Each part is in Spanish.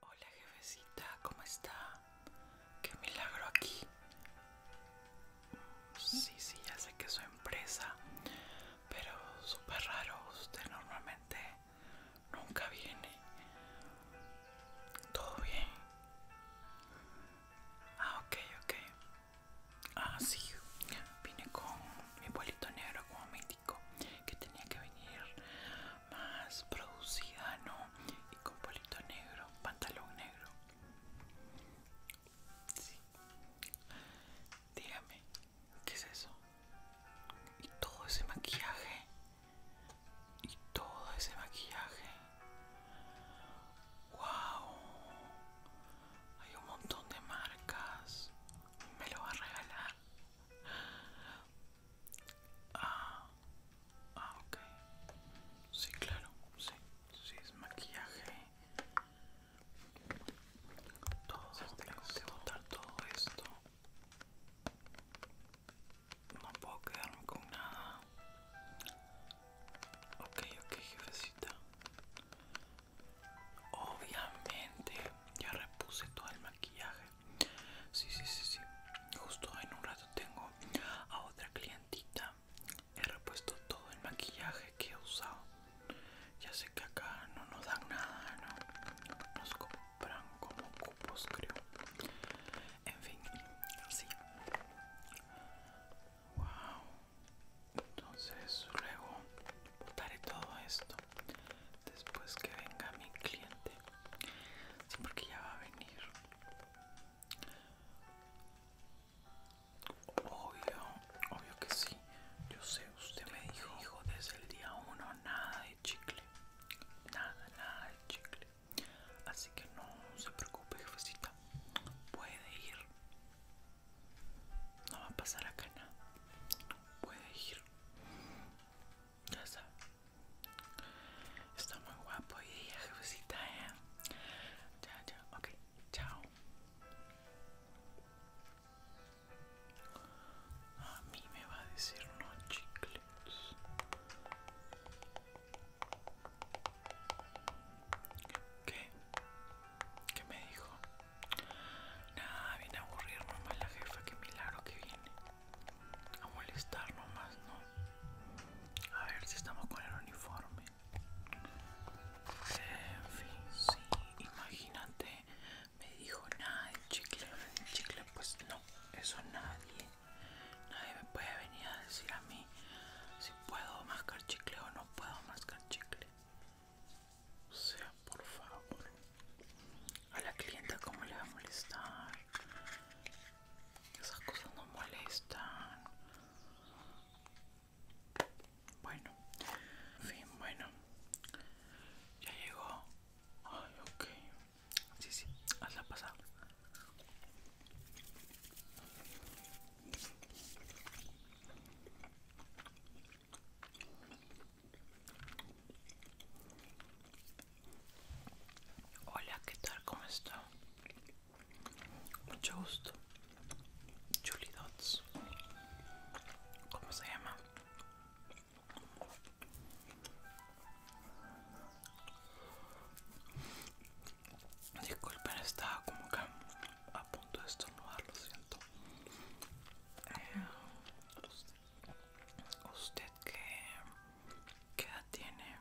Hola jefecita, ¿cómo está? Qué milagro aquí. Sí, sí, ya sé que es su empresa, pero súper raro, usted normalmente nunca viene. ¿Todo bien? Ah, ok, ok. Ah, sí, vine con mi bolito negro como mi que tenía que venir más producida, ¿no? Y con polito negro, pantalón negro. Sí. Dígame, ¿qué es eso? Y todo ese maquillaje. Y todo ese maquillaje. ¡Wow! Hay un montón de marcas. Me lo va a regalar. Ah, ah, ok. Sí, claro, sí, sí, es maquillaje. Todo, tengo que botar todo esto. No puedo quedarme con nada. Ok, ok, jefecita. Obviamente, ya repuse todo el maquillaje. Sí, sí, sí, sí. Justo en un rato tengo a otra clientita. He repuesto todo el maquillaje que he usado. Ya sé que acá no nos dan nada, ¿no? Nos compran como cupos, creo. En fin, sí. Wow. Entonces luego botaré todo esto después que venga mi cliente sí porque ya va a venir obvio obvio que sí yo sé usted me dijo hijo desde el día uno nada de chicle nada nada de chicle así que no se preocupe jefecita puede ir no va a pasar acá nada puede ir ya sabe Está muy guapo y jefecita, ¿eh? Chao, chao, ok, chao. A mí me va a decir no chicles. ¿Qué? ¿Qué me dijo? Nada, viene a aburrir nomás la jefa, qué milagro que viene a molestar nomás, ¿no? A ver si estamos con el uniforme. En fin, sí, imagínate, me dijo nada de chicle, chicle, pues no, eso nadie, nadie me puede venir a decir a mí si puedo mascar chicle o no puedo mascar chicle. O sea, por favor. A la clienta cómo le va a molestar. Esas cosas no molestan. Bueno, en fin, bueno. Ya llegó. Ay, ok. Sí, sí, hazla pasado Hola, ¿qué tal? ¿Cómo está? Mucho gusto. Julie Dots. ¿Cómo se llama? Disculpen, estaba como que a punto de estornudar, lo siento. Eh, ¿Usted que edad tiene?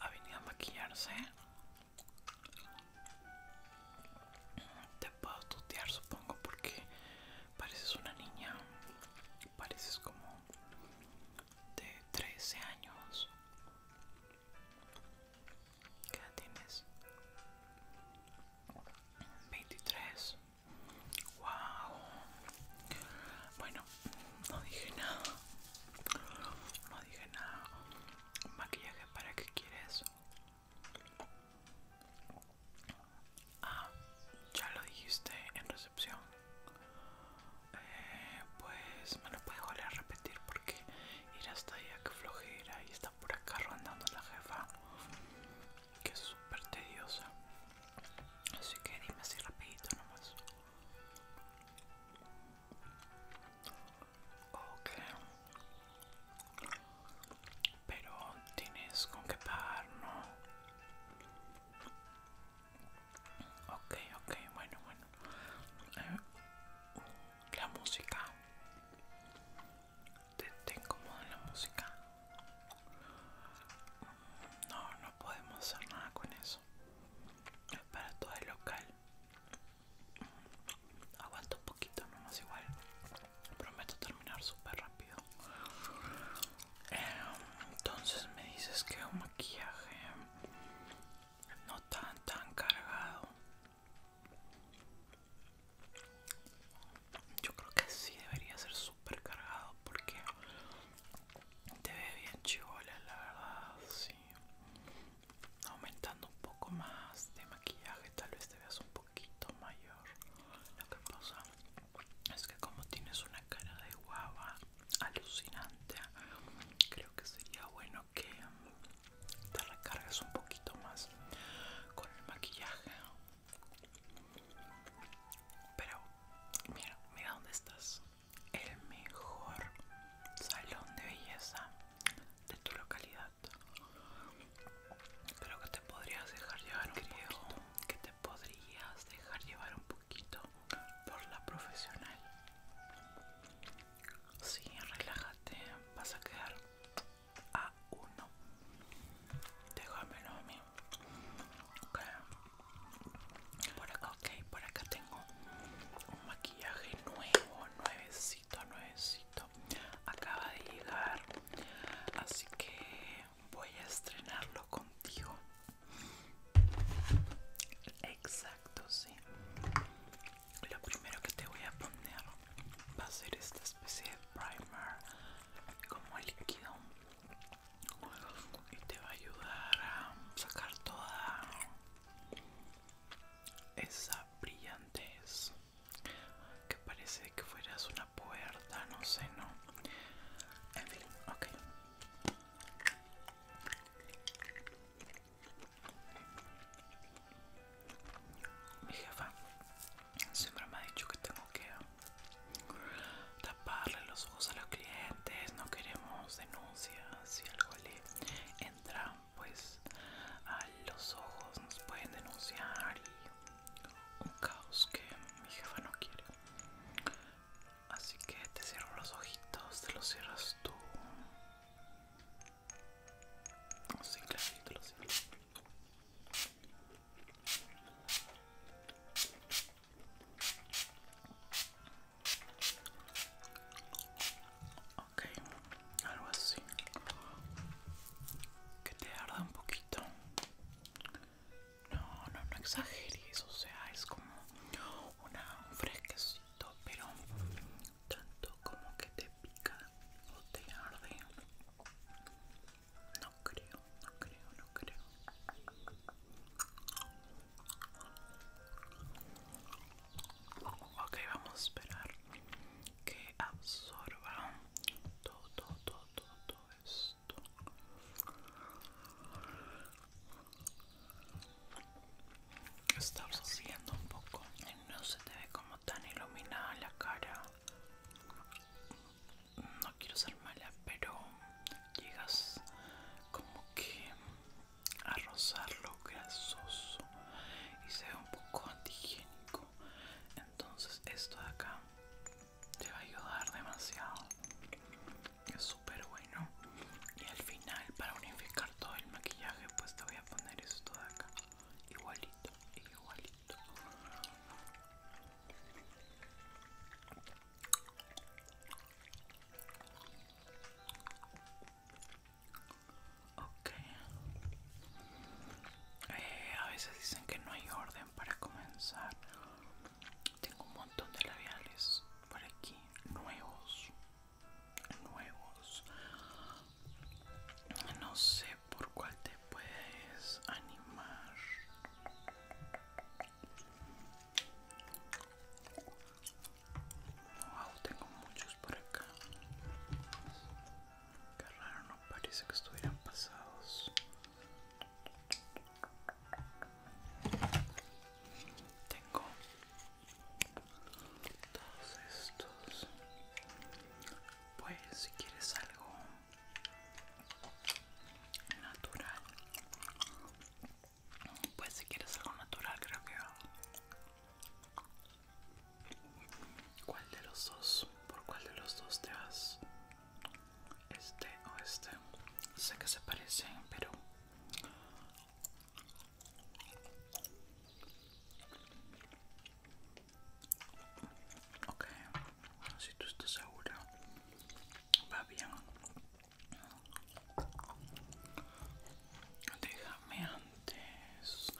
¿Ha venido a maquillarse? Te puedo tutear supongo porque pareces una niña, pareces como de 13 años. ¿Qué edad tienes? 23 Wow. Bueno, no dije nada. No dije nada. Maquillaje para qué quieres? Ah, ya lo dijiste en recepción. Eh, pues me lo puedo volver a repetir porque era hasta allá que flojera y está por acá rondando la jefa que es súper tediosa Así que dime así rapidito nomás. Ok. Pero tienes con qué pagar, ¿no? Ok, ok, bueno, bueno. Eh, la música. ¿Te, te incomoda la música? No, no podemos hacer nada con eso. Es para todo el local. Aguanto un poquito nomás igual. Prometo terminar súper rápido. Em, entonces me dices que un maquillaje no tan tan cargado. Yo creo que sí debería ser súper cargado porque te ve bien chivola, la verdad, sí. Aumentando un poco más de maquillaje, tal vez te veas un poquito mayor. Lo que pasa es que como tienes una cara de guava alucinante, creo que sería bueno que te recargues un poquito más con el maquillaje. Pero mira, mira dónde estás. El mejor salón de belleza de tu localidad. Creo que te podrías dejar llevar un poquito. que te podrías dejar llevar un poquito por la profesional. Sí, relájate, vas a quedar a uno. Déjame. a mí. Por acá, ok, por acá tengo un maquillaje nuevo, nuevecito, nuevecito. Acaba de llegar, así que voy a estrenarlo contigo. Exacto, sí. Lo primero que te voy a poner va a ser esta especie de primer como líquido y te va a ayudar a sacar toda esa brillantez que parece que fueras una puerta, no sé, no. En fin, ok. Mi jefa siempre me ha dicho que tengo que taparle los ojos a los clientes, no queremos denuncias si algo le entra pues a los ojos, nos pueden denunciar y un caos que mi jefa no quiere. Así que te cierro los ojitos, te los cierras tú. Los clarito, Ok, algo así. Que te arda un poquito. No, no, exageres, o sea, es como un fresquecito, pero tanto como que te pica o te arde. No creo, no creo, no creo. Ok, vamos a esperar que absorba todo, todo, todo, todo, esto. Está absorbiendo un poco. No se te ve como tan iluminada la cara no quiero ser mala, pero llegas como que a rozar lo grasoso y se ve un poco antihigiénico. Entonces, esto de acá te va a ayudar demasiado. Es súper bueno. Y al final, para unificar todo el maquillaje, pues te voy a poner esto de acá. Igualito, igualito. Ok. Eh, a veces dicen que no hay orden para comenzar. Tengo un montón de labiales por aquí, nuevos. Nuevos. No sé por cuál te puedes animar. Wow, tengo muchos por acá. Qué raro, no parece que estuvieran pasados. Tengo todos estos. Pues si quieres algo natural pues si quieres algo natural creo que... ¿Cuál de los dos? ¿Por cuál de los dos te vas? Este o este. Sé que se parecen, pero... Ok, si tú estás segura, va bien. Déjame antes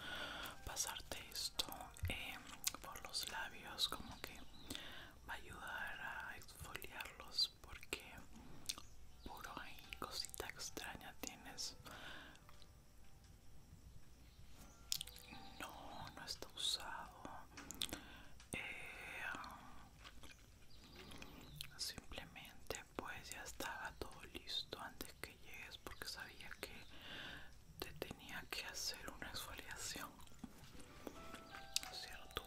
pasarte esto em, por los labios, como que va a ayudar a exfoliarlos porque puro ahí cosita extraña tienes. No, no está usado. Eh, Simplemente pues ya estaba todo listo antes que llegues porque sabía que te tenía que hacer una exfoliación. tu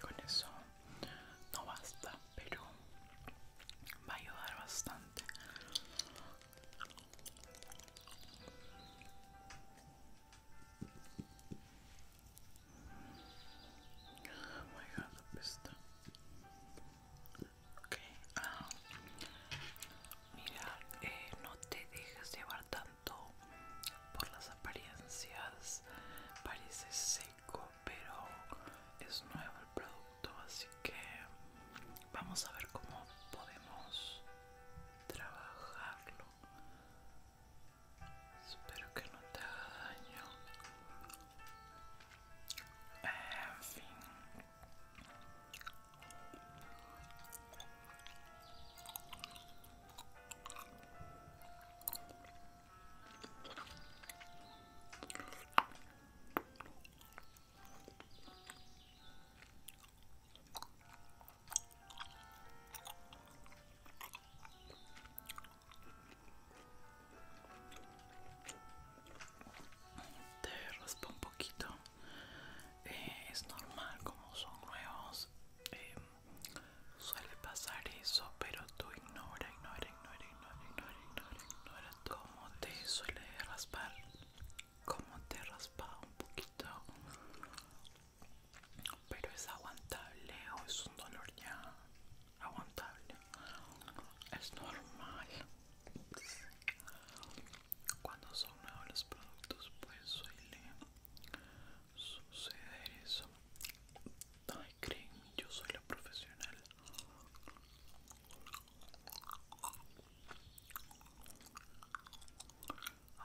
Con eso no basta, pero va a ayudar bastante. Oh ah, mira, eh, no te dejes llevar tanto por las apariencias parece seco pero es nuevo el producto así que vamos a ver cómo podemos trabajarlo espero que no te haga daño en fin te raspa un poquito. Eh, es normal como son nuevos. Eh, Suele pasar eso, pero tú ignora, ignora, ignora, ignora, ignora, ignora, ignora cómo te suele raspar, como te raspa un poquito, pero es aguantable o es un dolor ya aguantable, es normal. Cuando son nuevos los productos, pues suele Sucede eso. Ay, créeme, yo soy la profesional.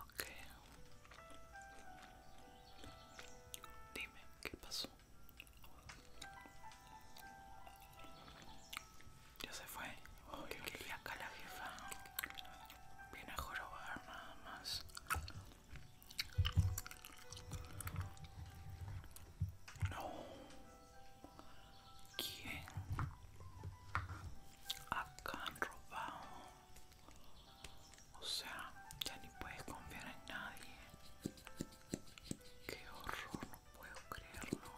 Ok. Dime, ¿qué pasó? Ya se fue. acá la jefa. Viene a jorobar nada más. No. ¿Quién? Acá han robado. O sea, ya ni puedes confiar en nadie. Qué horror, no puedo creerlo.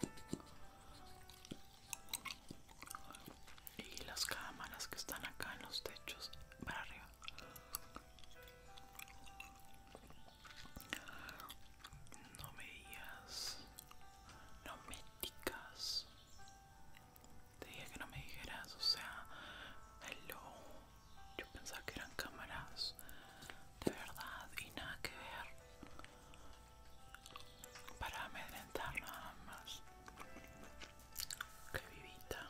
Y las cámaras que están acá en los techos para arriba no me digas, no me digas. Te dije que no me dijeras, o sea, hello. Yo pensaba que eran cámaras de verdad y nada que ver. Para amedrentar nada más. Que vivita,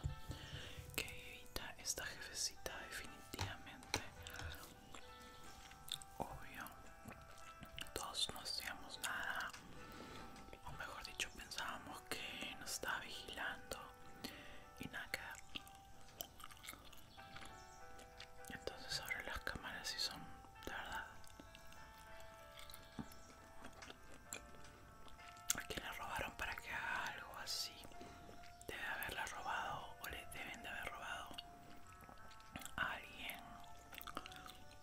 que vivita esta jefecita definitivamente. Obvio, todos no hacíamos nada, o mejor dicho pensábamos que nos estaba vigilando y nada entonces ahora las cámaras sí son de verdad ¿A quién le robaron para que haga algo así. Debe haberla robado o le deben de haber robado a alguien.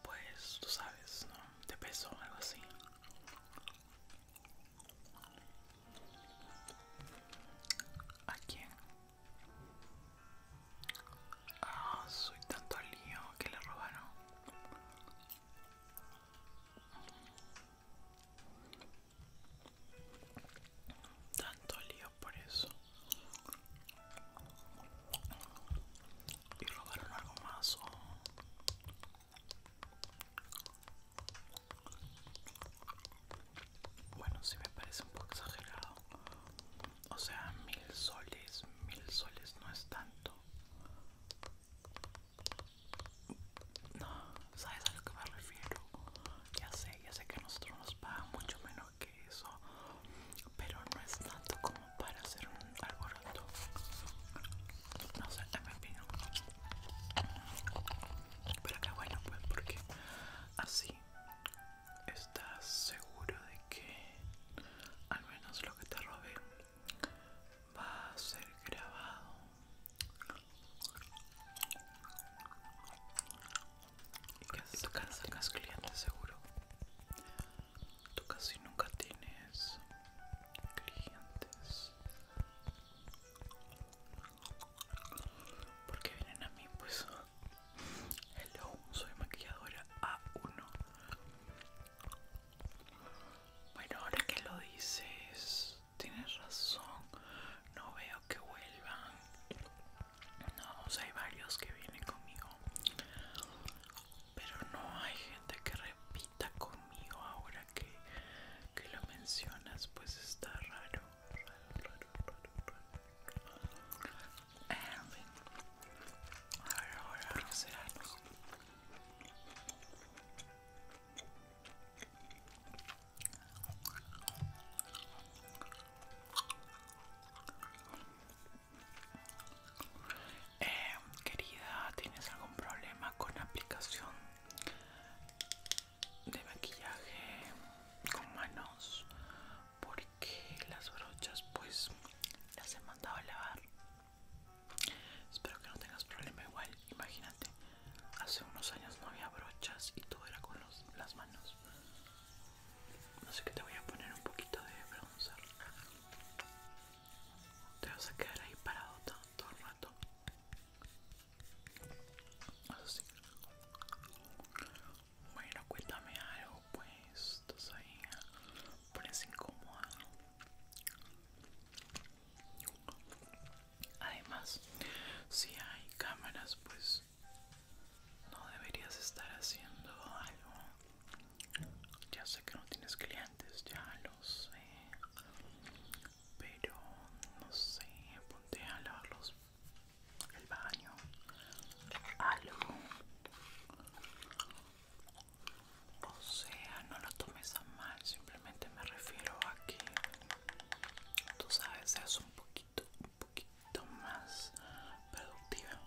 Pues tú sabes, ¿no? De peso o algo así. ¿A quién? Ah, soy tanto lío que le robaron. Tanto lío por eso. Y robaron algo más. Oh. Bueno, si me parece un poco exagerado. O sea, mil soles, mil soles no es tanto. No, ¿sabes a lo que me refiero? Ya sé, ya sé que a nosotros nos pagan mucho menos que eso, pero no es tanto como para hacer un alboroto. No sé, en mi opinión. Pero que bueno, pues porque así estás seguro de que al menos lo que te robé va a ser grabado ¿Y tú casi sacas clientes seguro? Tú casi nunca tienes clientes. ¿Por qué vienen a mí? Pues, hello, soy maquilladora A1. Bueno, ahora que lo dices, tienes razón. No veo que vuelvan. No, o sea, hay varios que vienen conmigo. Pero no hay gente que repita conmigo ahora que, lo mencionas. Pues está raro. Raro, raro, raro, ahora, será? Eh, querida, ¿tienes algún problema con la aplicación de maquillaje con manos? Porque las brochas pues las he mandado a lavar. Espero que no tengas problema igual, imagínate. Hace unos años no había brochas y todo era con las manos. Así que te voy a poner un poquito de bronzer. Te vas a quedar ahí parado todo, el rato. Bueno, cuéntame algo, pues. Estás ahí. Ah, pones incómodo. Además, si hay cámaras, pues no deberías estar haciendo algo. Ya sé que no tienes clientes, ya lo sé. Pero no sé, ponte a lavar los, el baño. Algo. O sea, no lo tomes a mal, simplemente me refiero a que tú sabes, seas un poquito, un poquito más productiva.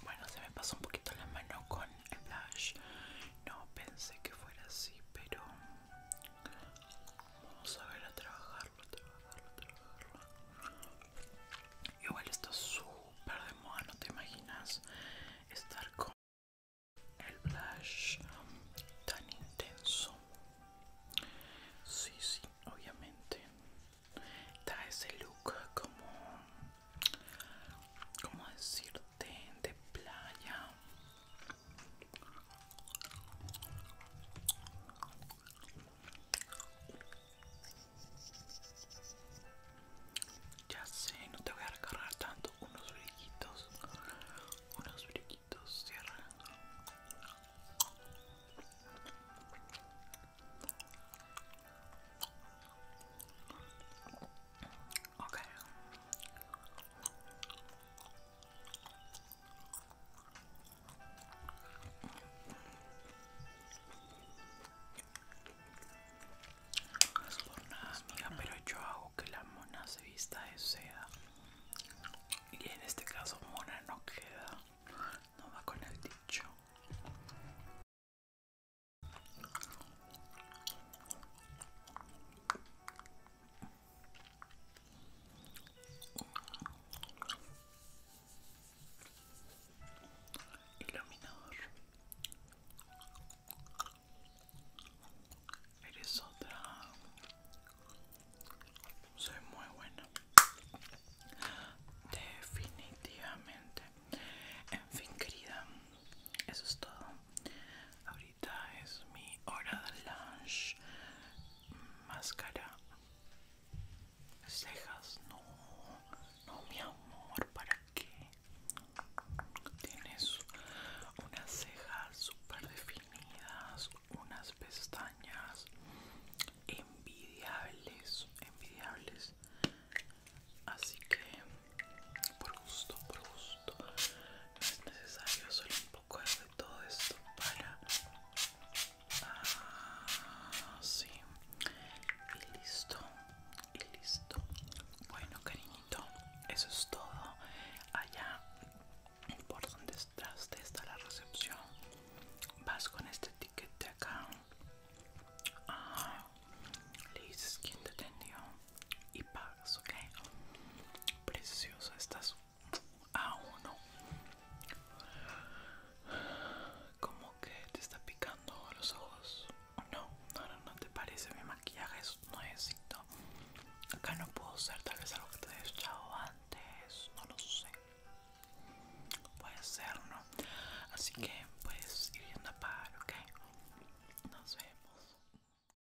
Bueno, se me pasó un poquito la mano con el blush. No pensé que fuera así, pero vamos a ver a trabajarlo, a trabajarlo, a trabajarlo. Igual está súper de moda, ¿no te imaginas estar con el blush tan intenso? Sí, sí, obviamente da ese look como, ¿cómo decirte? de playa. Ya sé, no te voy a recargar tanto. Unos brillitos. Unos brillitos, cierra. Ok. pero yo hago que la mona se vista de seda. Y en este caso, mona no queda. No va con el dicho. Iluminador. Eres otra. Soy muy buena. Definitivamente. En fin, querida eso es todo ahorita es mi hora de lunch máscara cejas no no mi amor para qué tienes unas cejas super definidas unas pestañas envidiables envidiables así que por gusto, por gusto. No es necesario solo un poco de todo esto para... Ah, sí. Y listo. Y listo. Bueno, cariñito, eso es todo. Allá por donde estás, te está la recepción. Vas con este etiquete acá. Ah, le dices te atendió y pagas, ok. Preciosa estás a uno. Como que te está picando los ojos. No, no, no, te parece. Mi maquillaje es nuevecito. Acá no puedo ser tal vez algo que te he echado antes. No lo sé. Puede ser, ¿no? Así que puedes ir yendo a pagar, ok. Nos vemos.